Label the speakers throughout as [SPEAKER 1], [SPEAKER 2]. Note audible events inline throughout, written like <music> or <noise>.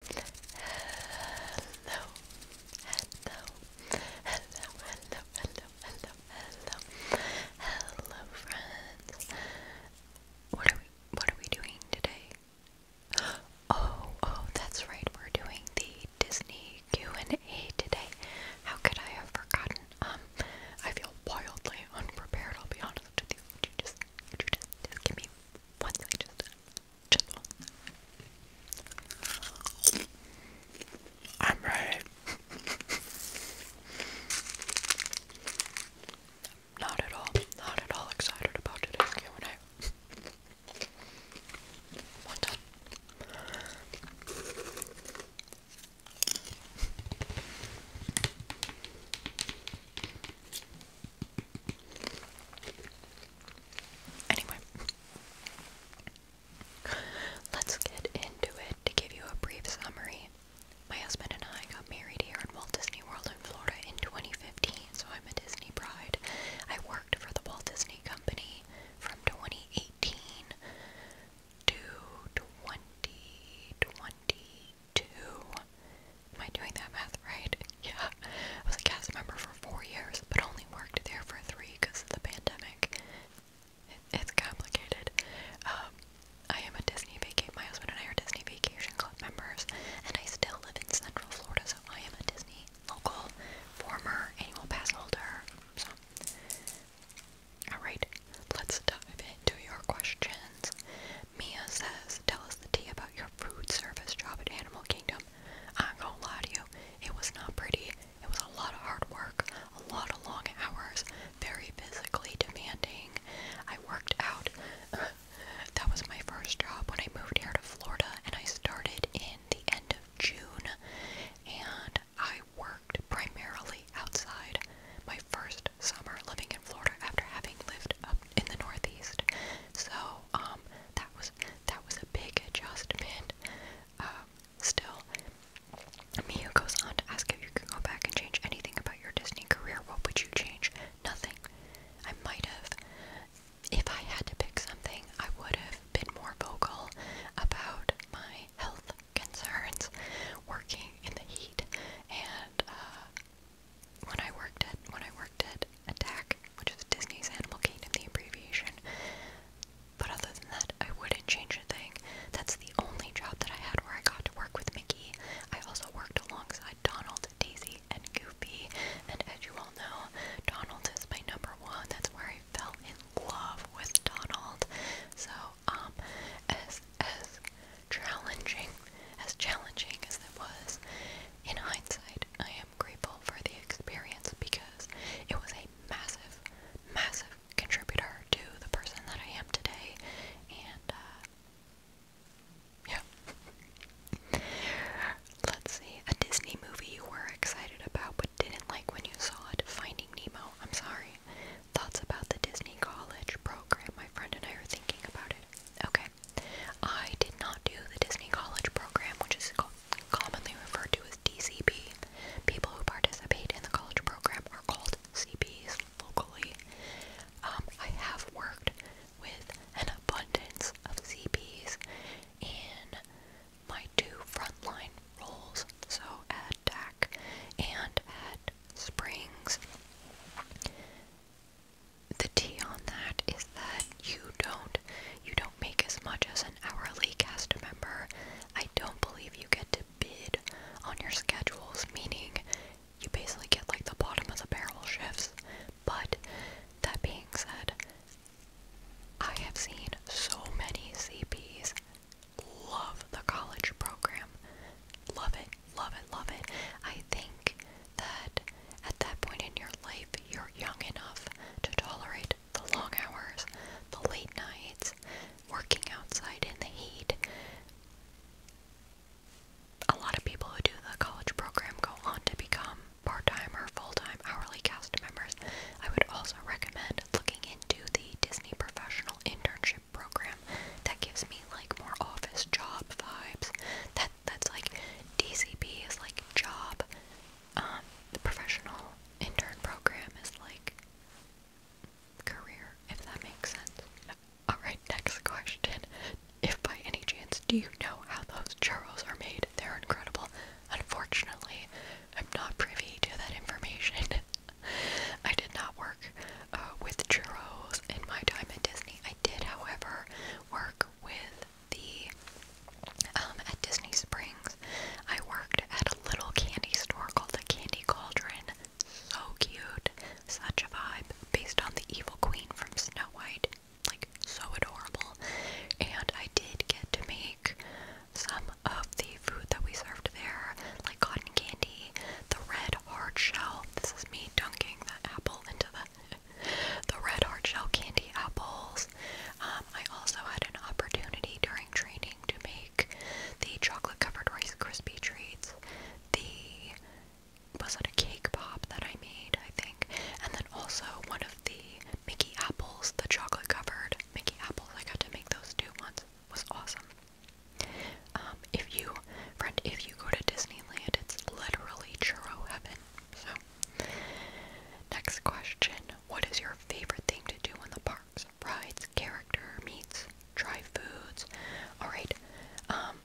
[SPEAKER 1] Hello, hello, hello, hello, hello, hello, hello, hello, friends. What are we? What are we doing today? <gasps> Oh, oh, that's right. We're doing the Disney Q and A today. How could I have forgotten? Um, I feel wildly unprepared. I'll be honest with you. just, just, just give me one second gentle. I'm right. Not at all, not at all excited about today's Q&A. One time. Anyway, let's get into it to give you a brief summary. My husband and I got married here in Walt Disney World in Florida in 2015, so I'm a Disney bride. I worked for the Walt Disney Company from 2018 to 2022. Am I doing that math right? <laughs> Yeah. I was a cast member for four years, but only worked there for three because of the pandemic. it's complicated. Um, I am a Disney vacation. My husband and I are Disney Vacation Club members, and I still live in Central Florida, so I am a Disney local, former annual pass holder. So, all right, let's dive into your questions. Mia says, "Tell us the tea about your food service job at Animal Kingdom." program. I ain't gonna lie to you, it was not pretty. It was a lot of hard work, a lot of long hours, very physically demanding. I worked out. <laughs> that was my first job when I moved here to Florida, and I started in the end of June. And I worked primarily outside. My first summer living in Florida after having lived up in the Northeast. So um, that was that was a big adjustment. Um, still, Miu goes on to ask if you could go back and change anything about your Disney career. What would you change? Nothing. I might have. If I had to pick something, I would have been more vocal about my health concerns, working in the heat, and uh, when I worked at when I worked at Attack, which is Disney's Animal Kingdom, the abbreviation. But other than that, I wouldn't change a thing. That's the only job that I had where I got to work with Mickey. I also worked alongside Donald, Daisy, and Goofy. And as you all know, Donald is my number one. That's where I fell in love with Donald. So, um, as as challenging as challenging as it was, in hindsight, I am grateful for the experience because it was a massive, massive contributor to the person that I am today. And, uh, yeah. Let's see. A Disney movie you were excited about but didn't like when you saw it. Finding Nemo. I'm sorry. Thoughts about the Disney college program. My friend and I are thinking about it. Okay. I did not do the Disney College Program, which is commonly referred to as DCP. People who participate in the college program are called CPs locally. Um, I have worked with an abundance of CPs in my two frontline roles, so at DAC and at Springs the T on that is that you don't you don't make as much as an hourly cast member. I don't believe you get to bid on your schedules, meaning you basically get like the bottom of the barrel shifts. But that being said, I have seen so many CPs love the college program. Love it, love it, love it. I think that at that point in your life, you're young enough to tolerate the long hours, the late nights, working outside in the heat. A lot of people who do the college program go on to become part time or full time hourly cast members. I would also recommend looking into the Disney Professional Internship Program. That gives me like more office job vibes. That that's like DCP is like job um, the professional intern program is like career, if that makes sense. Alright, next question. If by any chance do you know how those churros are made? They're incredible. Unfortunately, I'm not privy to that information. <laughs> I did not work uh, with churros in my time at Disney. I did, however, work with the um, at Disney Springs, I worked at a little candy store called the Candy Cauldron. So cute, such a vibe, based on the Evil Queen from Snow White. Like so adorable. And I did get to make some of the food that we served there, like cotton candy, the red hard shell. This is me dunking the apple into the the red hard shell candy apples. Um, I also had an opportunity during training to make the chocolate covered Rice Krispie treats. The was it a cake pop that I made, I think, and then also one of the Mickey apples, the chocolate covered Mickey apples. I got to make those two ones once. was awesome. Um, if you, friend, if you go to Disneyland, it's literally churro heaven. So, next question What is your favorite thing to do in the parks? Rides, character, meets, try foods. Alright, um,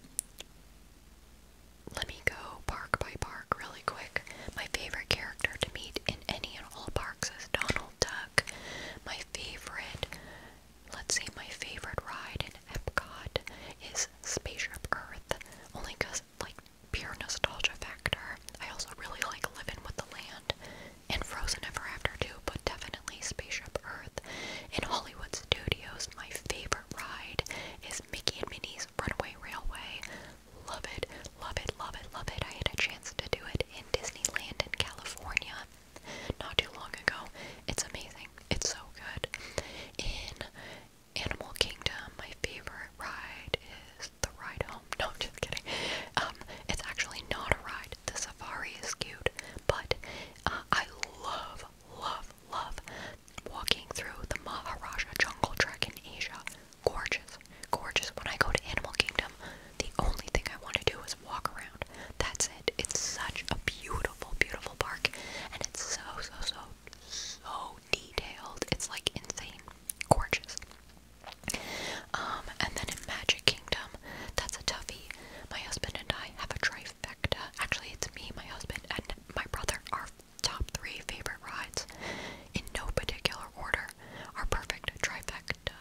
[SPEAKER 1] let me go park by park really quick. My favorite character to meet in any and all parks is Donald Duck. My favorite, let's see, my favorite ride in Epcot is Spaceship Earth, only because like pure nostalgia factor. I also really like Living with the Land and Frozen Ever After too, but definitely Spaceship Earth. In Hollywood Studios, my favorite ride is Mickey and Minnie's Runaway Railway. Love it, love it, love it, love it. I had a chance to do it in Disneyland in California not too long ago. It's amazing. It's so good. In Animal Kingdom, my favorite ride is the ride home. No, I'm just kidding. Um, it's actually not a ride. The safari is cute, but uh, I love, love, love walking through the Maharaja Jungle Trek in Asia. Gorgeous, gorgeous. When I go to Animal Kingdom, the only thing I want to do is walk around. That's it. It's such a beautiful, beautiful park, and it's so, so, so, so detailed. It's like insane gorgeous. Um, and then in Magic Kingdom, that's a toughie. My husband and I have a trifecta. Actually, it's me, my husband, and my brother. Our top three favorite rides, in no particular order, our perfect trifecta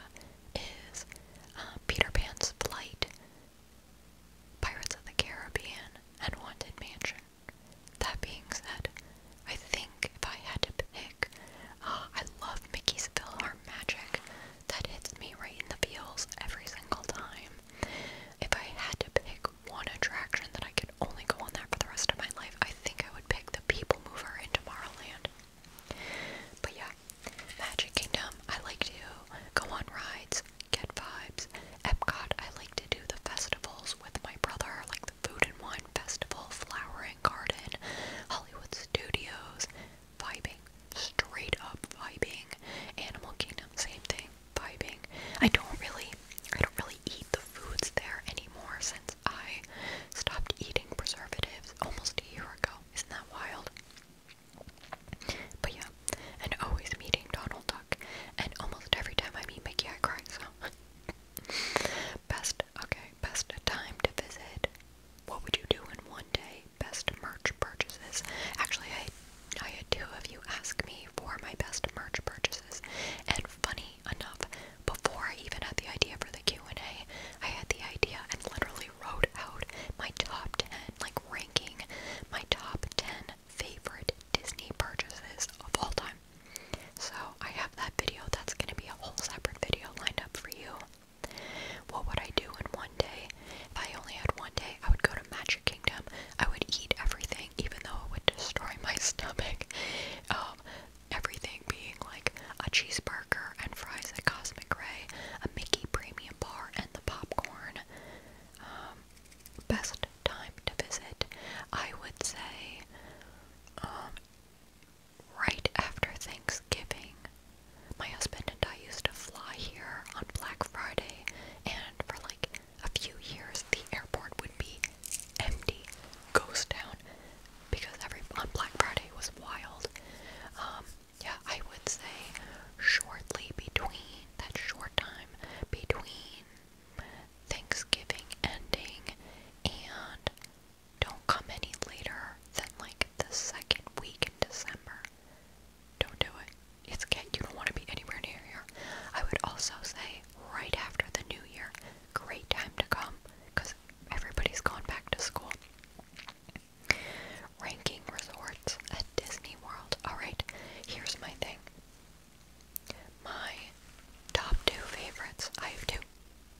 [SPEAKER 1] is um, Peter Pan's Flight, Pirates of the Caribbean, and Haunted Mansion. That being said, I think if I had to pick, ah, I love Mickey's Philhar Magic. That hits me right in the feels every single time. If I had to pick one attraction that I could only go on that for the rest of my life, I think I would pick the People Mover in Tomorrowland. But yeah, Magic Kingdom, I like to go on rides, get vibes. Epcot, I like to do the festivals with my brother, like Food and Wine Festival, flowering Garden, Hollywood Studios, vibing, straight up vibing. Animal Kingdom, same thing, vibing. I don't really, I don't really eat the foods there anymore since I stopped eating preservatives almost a year ago. Isn't that wild? But yeah, and always meeting Donald Duck, and almost every time I meet Mickey, I cry. So <laughs> Best, okay, best time to visit. What would you do in one day? Best merch purchases. Actually, I, I had two of you ask me for my best merch purchases, and funny enough, before I even had the idea for the Q and A, I had the idea and literally wrote out my top ten, like ranking my top ten favorite Disney purchases of all time. So I have that video. That's gonna be a whole separate video lined up for you. What would I do in one day? If I only had one day, I would go to Magic Kingdom. I would eat everything, even though it would destroy my <laughs> stomach. Um, everything being like a cheeseburger and fries at Cosmic Ray, a Mickey Premium Bar, and the popcorn. Um, best time to visit, I would say. Um, right after Thanksgiving. My husband and I used to fly here on Black Friday, and for like a few years, the airport would be empty, ghost town, because every on Black Friday was wild. Um, yeah, I would say shortly between that short time between Thanksgiving ending, and don't come any later than like the second week in December. Don't do it. It's get you don't want to be anywhere near here. I would also say right after the new year, great time to come because everybody's gone back to school. Ranking resorts at Disney World. Alright, here's my thing my top two favorites. I have two.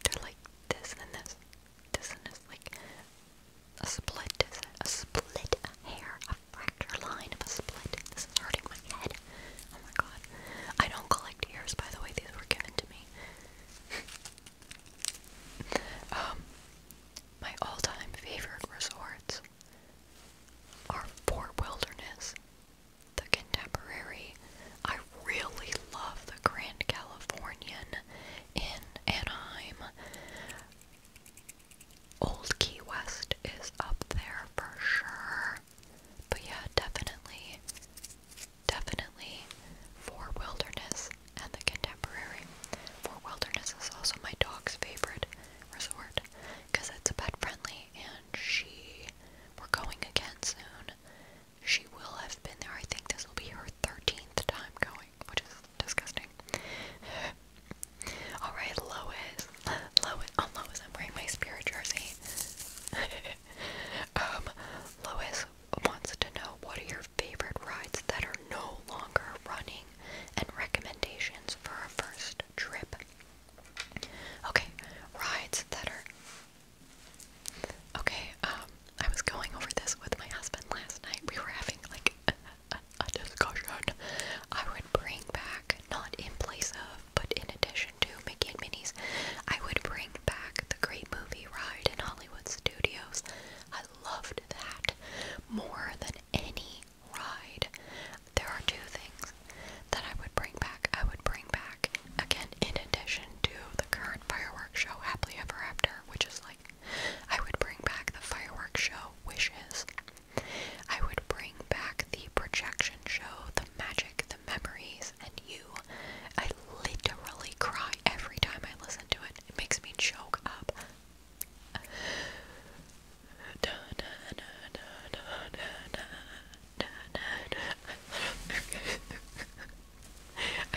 [SPEAKER 1] They're like this and this. This and this. Like a split, a split a hair, a fracture line of a split. This is hurting my head. Oh my god. I don't collect ears, by the way. These were given to me. <laughs> um, my all-time favorite resorts are Port Wilderness the Contemporary. I really love the Grand Californian in Anaheim. Old Key West is up there for sure. But yeah, definitely, definitely for Wilderness and the Contemporary. For Wilderness is also my dog's favorite resort because it's pet friendly and she, we're going again soon. She will have been there. I think this will be her 13th time going, which is disgusting. <sighs> Alright, Lois. Lois. Oh, Lois, I'm wearing my spirit jersey. <laughs> um, Lois wants to know what are your favorite rides that are no longer running and recommendations for a first trip. Okay, rides that are Okay, um, I was going over this with my husband last night. We were having like a, a, a discussion. I would bring back, not in place of, but in addition to Mickey Minis. I would bring back the great movie ride in Hollywood Studios. I loved that more than any ride. There are two things that I would bring back, I would bring back again, in addition to the current fireworks show, Happily Ever After, which is like, I would bring back the fireworks show, Wishes. I would bring back the projection show, the magic, the memories, and you. I literally cry every time I listen to it. It makes me choke up. <laughs> I'm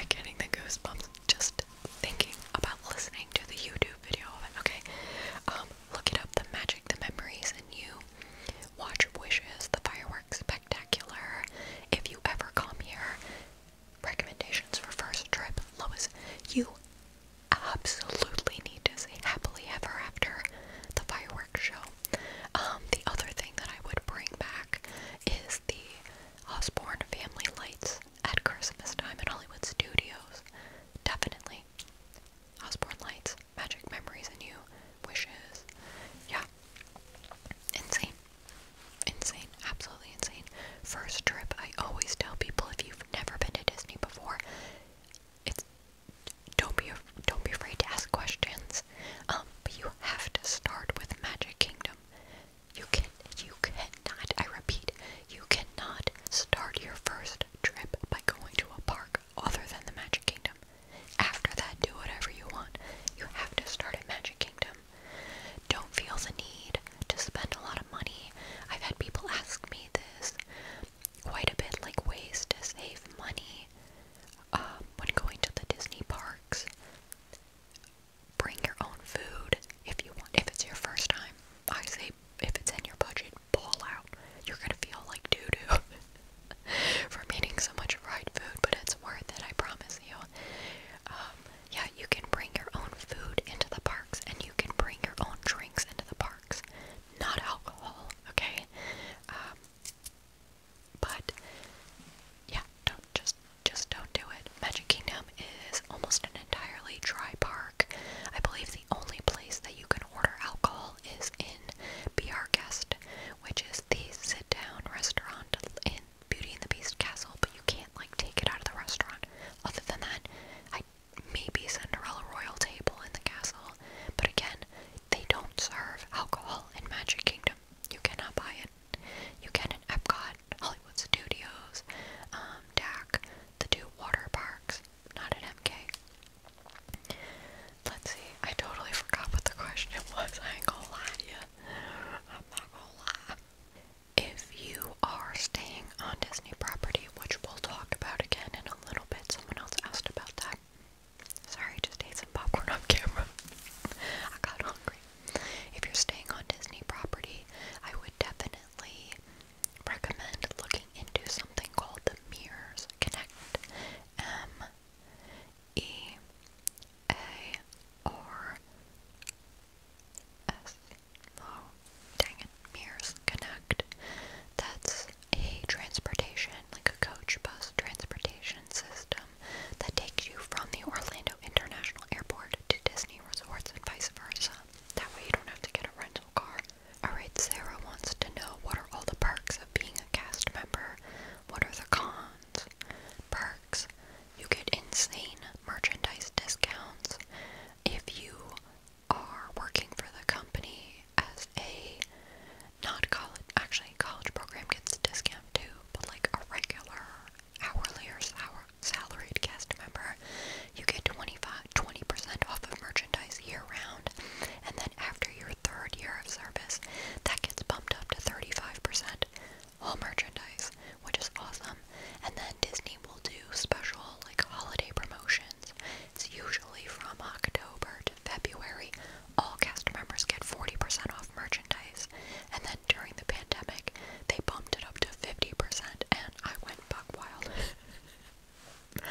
[SPEAKER 1] getting the goosebumps just thinking about listening to the YouTube video of it. Okay, um, look it up. The magic, the memories, and you watch Wishes, the fireworks spectacular. If you ever come here, recommendations for first trip, Lois. You absolutely need to see Happily Ever After, the fireworks show. Um, the other thing that I would bring back is the Osborne family lights at Christmas time at Hollywood Studios. Definitely. Osborne lights, magic memories and you, wishes. Yeah. Insane. Insane. Absolutely insane. First trip, I always tell people if you've never been to Disney before, it's don't be don't be afraid to ask questions. Um, but you have to start with Magic Kingdom. You can you cannot, I repeat, you cannot start your first trip by going to a park other than the Magic Kingdom. After that, do whatever you want. You have to start at Magic Kingdom. Don't feel the need to spend a lot of money. I've had people ask me this quite a bit, like ways to save money um, when going to the Disney park Bring your own food if you want. If it's your first time, I say if it's in your budget, pull out. You're gonna feel like doo doo <laughs> from eating so much fried food, but it's worth it. I promise you. Um, yeah, you can bring your own food into the parks, and you can bring your own drinks into the parks. Not alcohol, okay? Um, but yeah, don't just just don't do it. Magic Kingdom is almost an entirely dry park. I believe the only place that you can order alcohol is in Be Guest, which is the sit-down restaurant in Beauty and the Beast Castle, but you can't like take it out of the restaurant. Other than that, I maybe Cinderella Royal Table in the castle, but again, they don't serve alcohol in Magic Kingdom. You cannot buy it. You can in Epcot, Hollywood Studios, um, the two water parks, not at MK. Let's see, I totally forgot what the question <laughs> was. I ain't gonna lie to you. I'm not gonna lie. If you are staying on Disney property, which we'll talk about again in a little bit, someone else asked about that. Sorry, just ate some popcorn off camera. <laughs> I got hungry. If you're staying on Disney property, I would definitely recommend looking into something called the Mirrors Connect. M E A R S. dang it. Mirrors Connect. That's a transportation, like a coach bus transportation system that takes you from the Orlando International Airport to Disney Resorts and vice versa. That way you don't have to get a rental car. Alright, Sarah wants to know what are all the perks of being a cast member? What are the cons? Perks. You get insane merchandise discounts. If you are working for the company as a not college, actually college program gets a discount too, but like a regular hourly or sour, salaried cast member, you get 25, 20% off of merchandise year round, and then after your third year of service, that gets bumped up to 35% all merchandise, which is awesome, and then Disney will do special like holiday promotions. It's usually from October to February all cast members get 40% off merchandise, and then during the pandemic, they bumped it up to 50%, and I went buck wild. <laughs>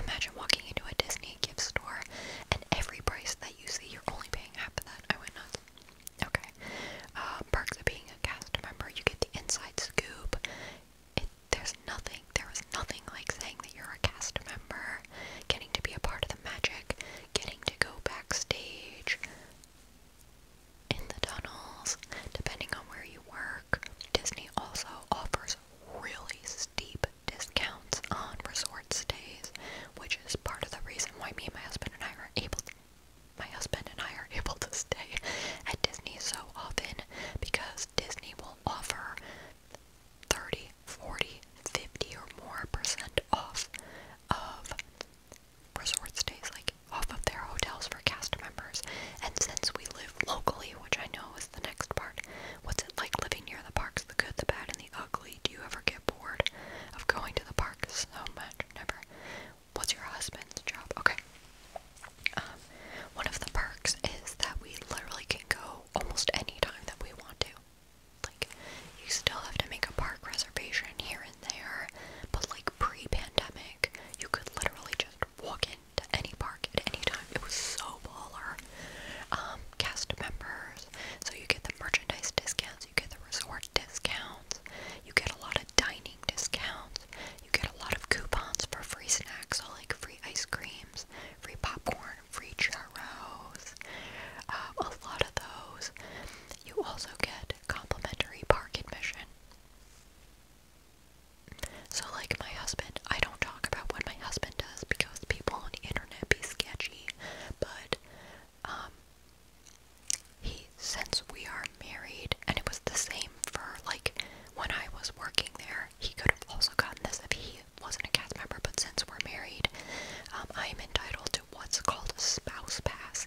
[SPEAKER 1] Imagine walking into a Disney gift store, and every price that you see, you're only paying half of that. I went nuts. Okay. Uh, perks of being a cast member, you get the inside scoop. there's nothing, there was nothing like saying that you're a cast member getting to be a part of the magic, getting to go backstage in the tunnels, depending on where you work. Disney also offers really steep discounts on resort stays, which is part of the reason why me and my husband and I are able to, my husband and I are <laughs> able to stay at Disney so often because Disney will offer 30 40, 50 or more percent off of resort stays, like off of their hotels for cast members. And since we live locally, which I know is the next part, what's it like living near the parks? The good, the bad, and the ugly. Do you ever get bored of going to the park so much? Never. What's your husband's job? Okay. Um, one of the perks is that we literally can go almost any time that we want to. Like, you still have to make a park reservation here and there, but like pre pandemic, you could literally just walk into any park at any time. It was so baller. Um, cast members, so you get the merchandise discounts, you get the resort discounts, you get a lot of dining discounts, you get a lot of coupons for free snacks, so like free ice creams, free popcorn, free churros, uh, a lot of those you also get complimentary park admission. So, like my husband, I don't talk about what my husband does because people on the internet be sketchy, but um, he, since we are married, and it was the same for like when I was working there, he could have also gotten this if he wasn't a cast member, but since we're married, um, I am entitled to what's called a spouse pass.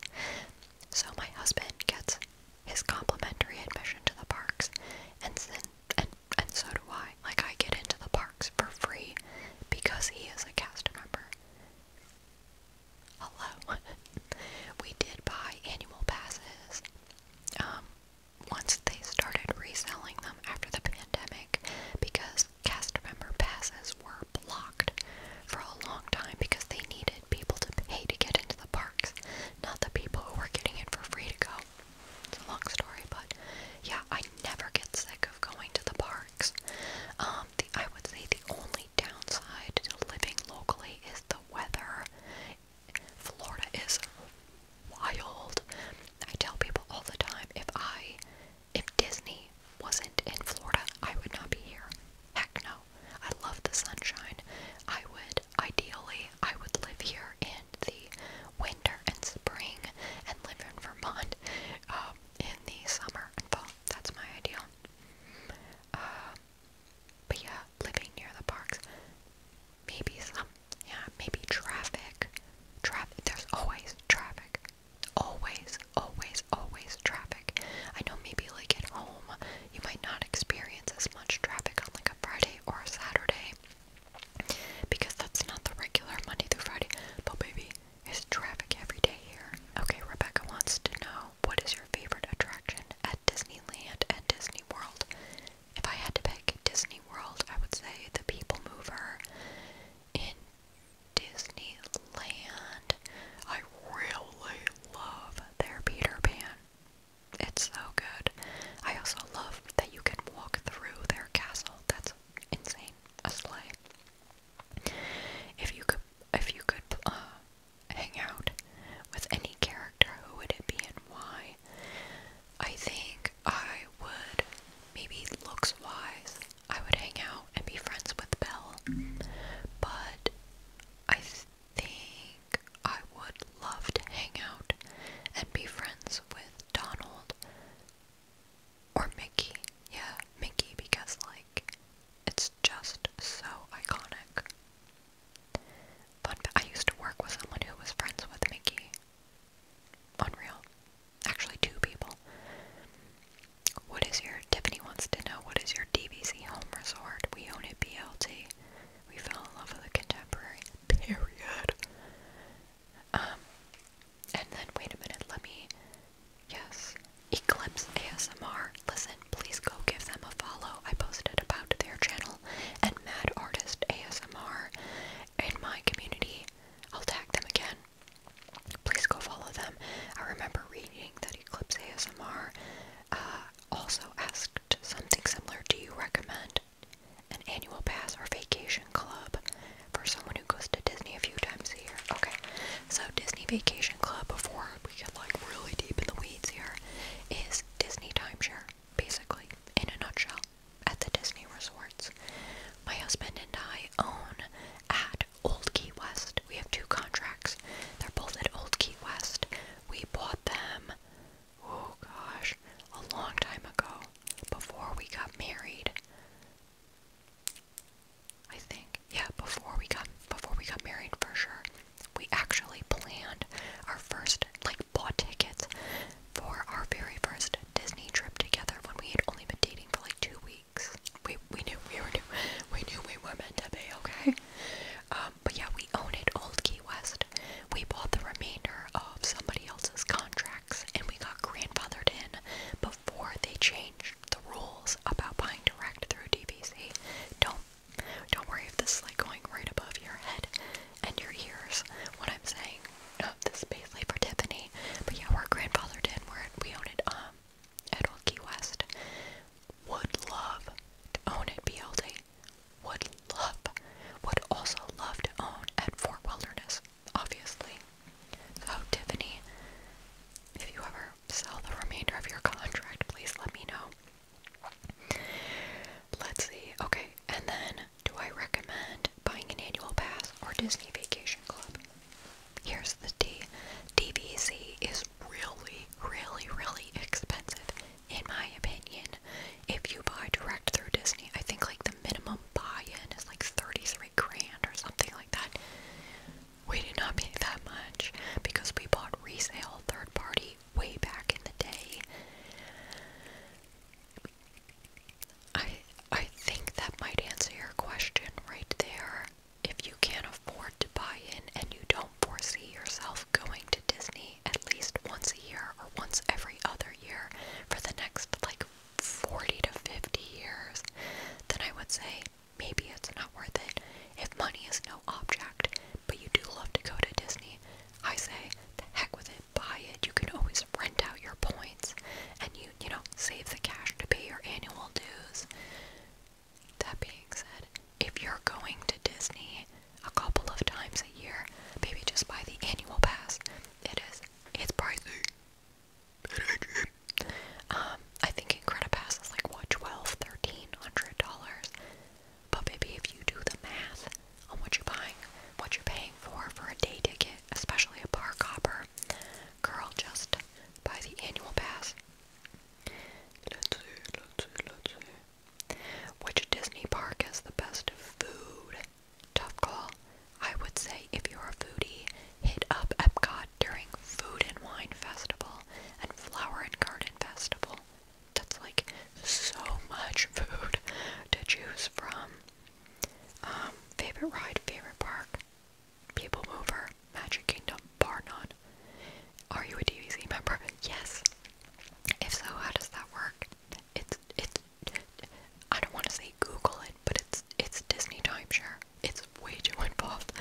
[SPEAKER 1] So my husband gets his complimentary admission to the parks, and then and and so do I. Like I get into the parks for free because he is a cast member. Hello. <laughs> we did buy annual passes. Um, once they started reselling them after the pandemic because cast member passes were blocked for a long time because they needed people to pay to get into the parks, not the people who were getting in for free to go. It's a long story, but yeah, I never get sick of going to the parks. Um, the, I would say the only downside to living locally is the weather. Florida is wild. I tell people all the time if I if Disney wasn't in Florida, I would not be here. Heck no. I love the sunshine. I would, ideally, I would live here in the winter and spring and live in Vermont um, in the summer and fall. That's my ideal. Um, but yeah, living near the parks, maybe some, yeah, maybe traffic. Traffic, there's always traffic always, always, always traffic. I know maybe like at home you might not experience as much traffic on like a Friday or a Saturday because that's not the regular Monday through Friday, but baby, it's traffic every day here. Okay, Rebecca wants to know what is your favorite attraction at Disneyland and Disney World? If I had to pick Disney World, I would say the People Mover in Disneyland. I really love their Peter Pan. It's so good. I also love that you can walk through their castle. That's insane. A sleigh. If you could, if you could uh, hang out with any character, who would it be and why? I think I would maybe looks wise. I would hang out and be friends with Belle, but I think I would love to hang out and be friends with Donald or Mickey. Yeah, Mickey, because, like, it's just so iconic. Fun fact, I used to work with someone who was friends with Mickey. Unreal. Actually, two people. What is your, Tiffany wants to know, what is your DVC home resort? We own a BLT. We fell in love with the contemporary, <laughs> period. Um, and then, wait a minute, let me, yes, Eclipse ASMR. Listen, please go give them a follow. I posted about their channel and Mad Artist ASMR in my community. I'll tag them again please go follow them. I remember reading that Eclipse ASMR uh, also asked something similar. Do you recommend an annual pass or vacation club for someone who goes to Disney a few times a year? Okay, so Disney Vacation Club, before we get like really deep in the weeds here, is Disney timeshare, basically, in a nutshell, at the Disney resorts. My husband and I own at Old Key West. We have two contracts. They're both at Old Key West. We bought them, oh gosh, a long time ago, before we got married. I think, yeah, before we got before we got married for sure. We actually planned our first, like, bought tickets for our very first Disney trip together when we had only been dating for like two weeks. We we knew we were do we knew we were meant to be okay. Um, but yeah, we owned Old Key West. We bought the remainder of somebody else's contracts, and we got grandfathered in before they changed the rules about buying direct through DVC. Don't don't worry if this is like going right above your head and your ears. What I'm saying, uh, this is basically for Tiffany. But yeah, we're grandfathered in. We're we own it. Um, Edwell Key West would love to own at BLT. Would love, would also love to own at Fort Wilderness, obviously. So, Tiffany, if you ever sell the remainder of your contract, please let me know. Let's see. Okay, and then do I recommend buying an annual pass or Disney Vacation Club? here's the D. DVC is really, really, really expensive, in my opinion. If you buy direct through Disney, I think like the minimum buy-in is like 33 grand or something like that. We did not pay that much because we bought resale third party way back in the day. I I think that might answer your question right there. If you can't afford to buy in and you don't foresee yourself going to Disney at least once a year or once every other year for the next like 40 to 50 years, then I would say maybe it's not worth it. If money is no object, but you do love to go to Disney, I say the heck with it, buy it. You can always rent out your points and you, you know, save the cash to pay your annual dues. That being said, if you're going to Disney a couple of times a year, maybe just buy the annual pass. It is, it's pricey. Um, I think Incredipass is like what, twelve, thirteen hundred dollars. But maybe if you do the math on what you're buying, what you're paying for for a day ticket, especially a park hopper, girl, just buy the annual pass. Which Disney park has the best food? Tough call. I would say if you're a foodie, hit up Epcot during Food and Wine Festival and Flower and Garden Festival. That's like so much food to choose from. Um, favorite ride, favorite park. People Mover, Magic Kingdom, bar Are you a DVC member? Yes. If so, how does that work? It's it's. I don't want to say Google it, but it's it's Disney timeshare. It's way too involved.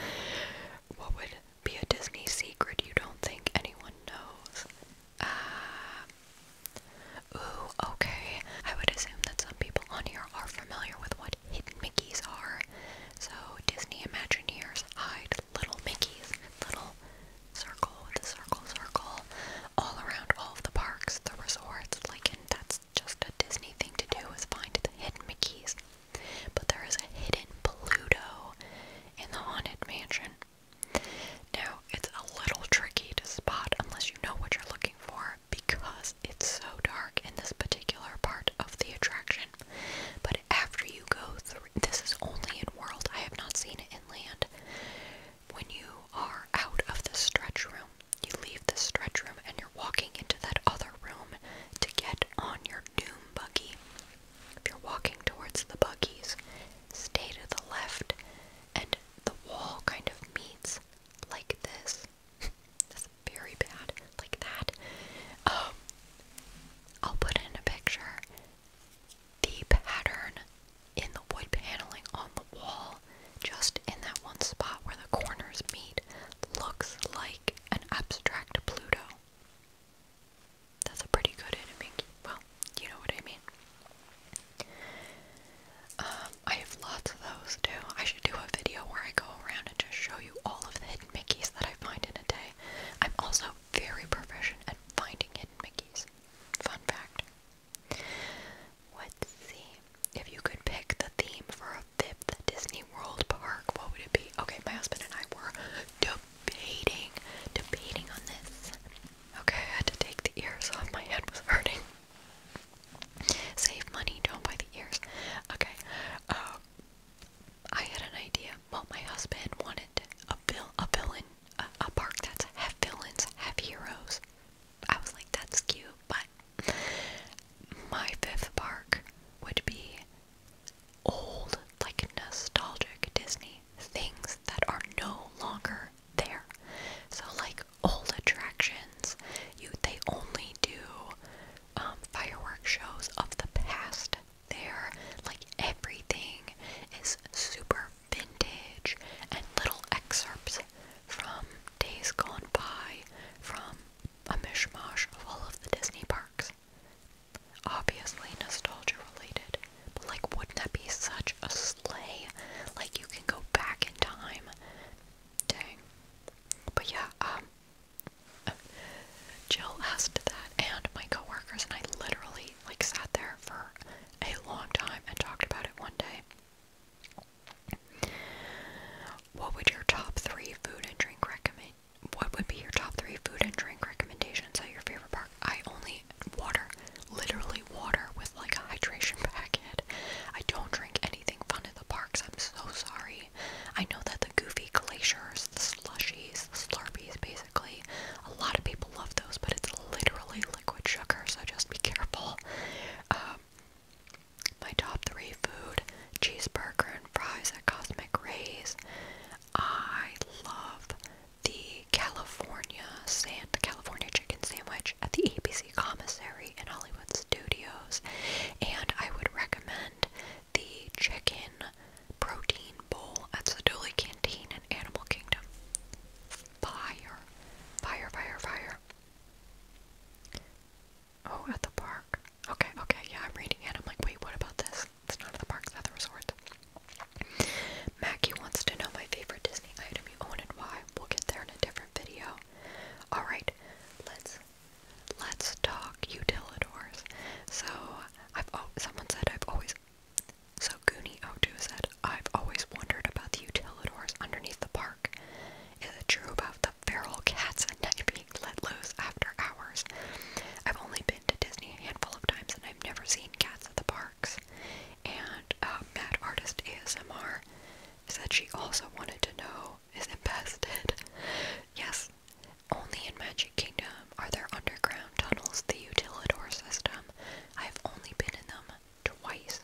[SPEAKER 1] What would be a Disney secret you don't think anyone knows? Uh, Ooh, okay. I would assume that some people on here are familiar with what hidden Mickeys are. So Disney Imagineers hide little Mickeys, little circle with a circle, circle, all around all of the parks, the resorts. Like, and that's just a Disney thing to do is find the hidden Mickeys. But there is a hidden Pluto in the Haunted Mansion. Now, it's a little tricky to spot unless you know what you're looking for because it's so dark in this particular part of the attraction but after you go through, this is only in world, I have not seen it in land. When you are out of the stretch room, you leave the stretch room and you're walking into that other room to get on your doom buggy. If you're walking towards the buggies, stay to the left and the wall kind of meets like this <laughs> very bad, like that. Um, I'll put in a picture. The pattern in the wood paneling on the wall, just in that one spot where the corners meet, looks like an abstract Pluto. That's a pretty good enemy. Well, you know what I mean. Um, I have lots of those too. I should do a video where I go around and just show you all of the Mickeys that I find in a day. I'm also very proficient at finding hidden Mickeys. Fun fact. Let's see. If you could pick the theme for a fifth Disney World park, what would it be? Okay, my husband and I were debating, debating on this. Okay, I had to take the ears off. My head was hurting. Save money, don't buy the ears. Okay. Uh, I had an idea. Well, my husband wanted a vil a villain, a, park that's half villains, half heroes. I was like, that's cute, but my fifth park would be old, like nostalgic Disney things that are no longer there. So like old attractions, you they only do um, firework shows of the past there. Like everything is super vintage and little excerpts from days gone by from a mishmash of all of the Disney parks. Obviously nostalgia related, but like wouldn't that be such a sleigh? Like you can go back in time. But yeah, um, Jill asked that and my coworkers, and I literally like sat there for a long time and talked about it one day. What would your top three food and drink recommend? What would be your top three food and drink recommendations at your favorite park? I only water, literally water with like a hydration <laughs> packet. I don't drink anything fun at the parks. I'm so sorry. I know that the goofy glaciers, the slushies, the slurpees, basically, a lot of people love those, but it's literally liquid sugar, so just be careful. Um, my top three food cheeseburger and fries at Cosmic Rays. I love the California sand, the California chicken sandwich at the ABC Commissary in Hollywood Studios, and I would recommend the chicken protein bowl at Seduli Canteen in Animal Kingdom. Fire. Fire, fire, fire. Oh, at the park. Okay, okay, yeah, I'm reading it. I'm like, wait, what about this? It's not at the park, it's at the resort. Mackie wants to know my favorite Disney item you own and why. We'll get there in a different video. Alright, let's Let's talk utilitores. So I've someone said I've always so Goony 0 2 said I've always wondered about the utilitores underneath the park. Is it true about the feral cats at night being let loose after hours? I've only been to Disney a handful of times and I've never seen cats at the parks. And uh, Mad Artist ASMR said she also wanted to know is it bested? <laughs> Yes, only in Magic Kingdom are there underground tunnels the Utilidor system. I've only been in them twice.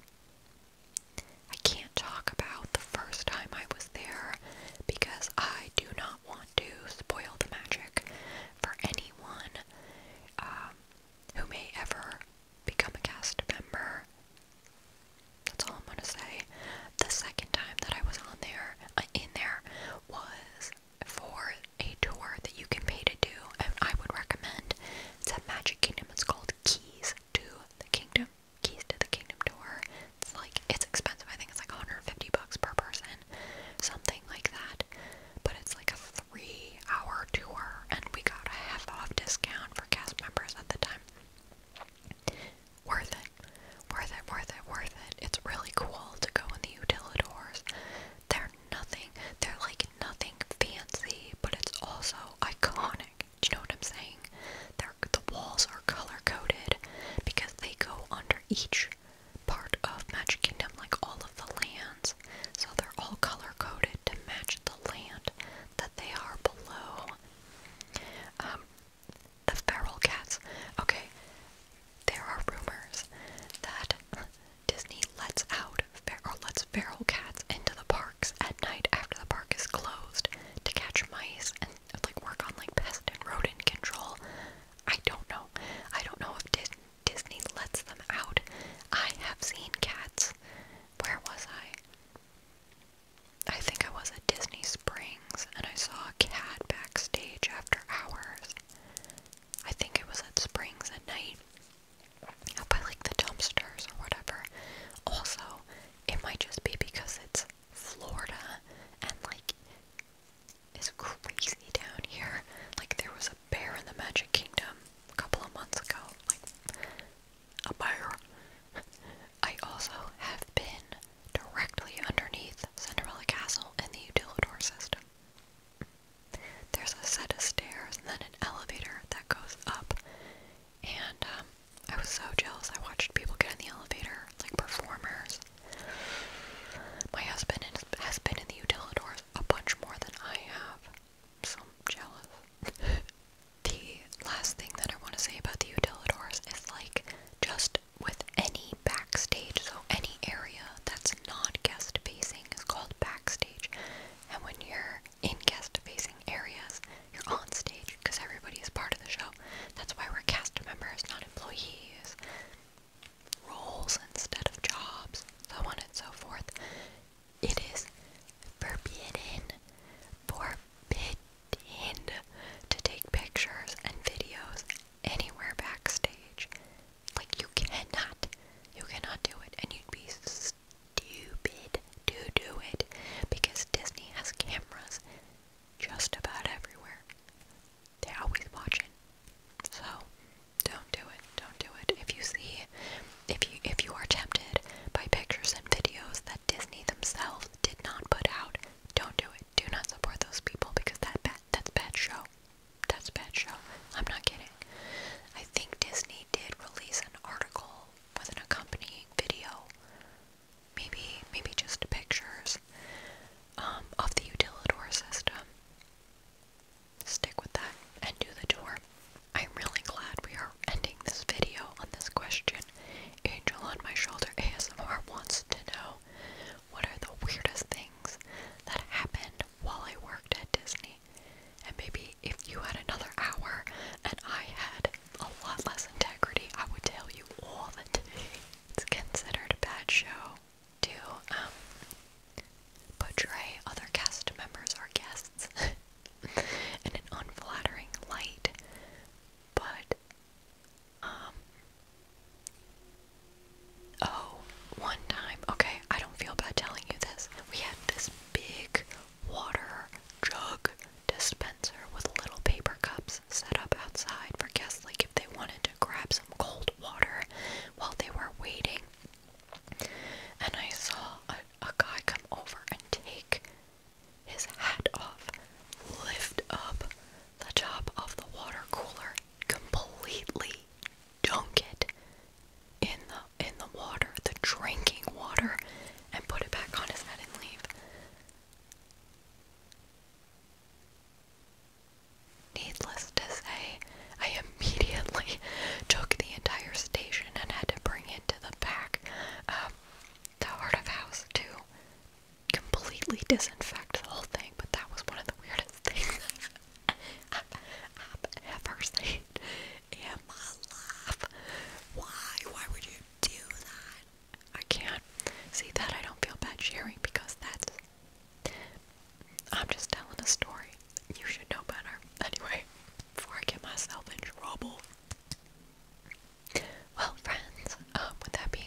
[SPEAKER 1] I can't talk about the first time I was there because I do not want to spoil the magic for anyone um, who may ever become a cast member. That's all I'm gonna say. The second time that I was on there, in there was for a tour that you can pay to do, and I would recommend it's at Magic Kingdom. It's called Keys to the Kingdom. Keys to the Kingdom tour. It's like it's expensive. I think it's like 150 bucks per person, something like that. But it's like a three-hour tour, and we got a half-off discount for cast members at the time worth it. Worth it, worth it, worth it. It's really cool to go in the utilidors. They're nothing, they're like nothing fancy, but it's also iconic. Do you know what I'm saying? They're, the walls are color coded because they go under each part of Magic Kingdom, like all of the lands. So they're all color coded to match the land that they are below. Um, the feral cats. Okay, there are rumors that Disney lets out fer or lets feral cats into the parks at night after the park is closed to catch mice and like work on like pest and rodent control. I don't know. I don't know if Dis Disney lets them out. I have seen cats. Where was I? I think I was at Disney Springs and I saw a cat backstage after hours. I think it was at Springs at night, up by like the dumpsters or whatever. Also, it might just be because it's Florida and like it's crazy down here. Like, there was a bear in the Magic Kingdom a couple of months ago. Like, a bear. <laughs> I also have been directly underneath Cinderella Castle and the Utilidor system. There's a set of stairs and then an elevator that goes up, and um, I was so jealous. I watched people get in the elevator, like performers. My husband has been in the Utilidors a bunch more than I have, so jealous. <laughs> the last thing that I want to say about the Utilidors is like just with any backstage, so any area that's not guest facing is called backstage. And when you're in guest facing areas, you're on stage because everybody is part of the show. That's why we're cast members, not employees. Roles instead of jobs, so on and so forth. It is forbidden, forbidden to take pictures and videos anywhere backstage. Like, you cannot. You cannot do it. And you'd be stupid to do it because Disney has cameras just about everywhere. They're always watching. So, don't do it. Don't do it. If you see, if you if you are tempted by pictures and videos that Disney themselves did not put out, don't do it do not support those people because that bad, that's bad show. That's bad show. I'm not kidding. I think Disney did release an article with an accompanying video, maybe maybe just pictures, um, of the Utilidor system. Stick with that and do the tour. I'm really glad we are ending this video on this question. Angel on my shoulder ASMR wants to know what are the weirdest things that happened while I worked at Disney? And maybe if you had another hour and I had a lot less integrity, I would tell you all that It's considered a bad show to um, portray other cast members or guests <laughs> in an unflattering light, but um, oh, one time, okay, I don't feel bad telling you this. We had this big water jug dispenser with little paper cups set up outside for guests, like if they wanted to grab some cold water while they were waiting. And I saw a, a guy come over and take his hat off, lift up the top of the water cooler, completely dunk it in the in the water, the drinking water, and put it back on his head and leave. Needless to say, I immediately <laughs> took the entire station and had to bring it to the back, um, the heart of house to completely disinfect the whole thing, but that was one of the weirdest <laughs> things I've, ever seen in my life. Why? Why would you do that? I can't. See, that I don't feel bad sharing because that's. I'm just telling a story. You should know better. <laughs> Anyway, before I get myself in trouble. Well, friends, um, that being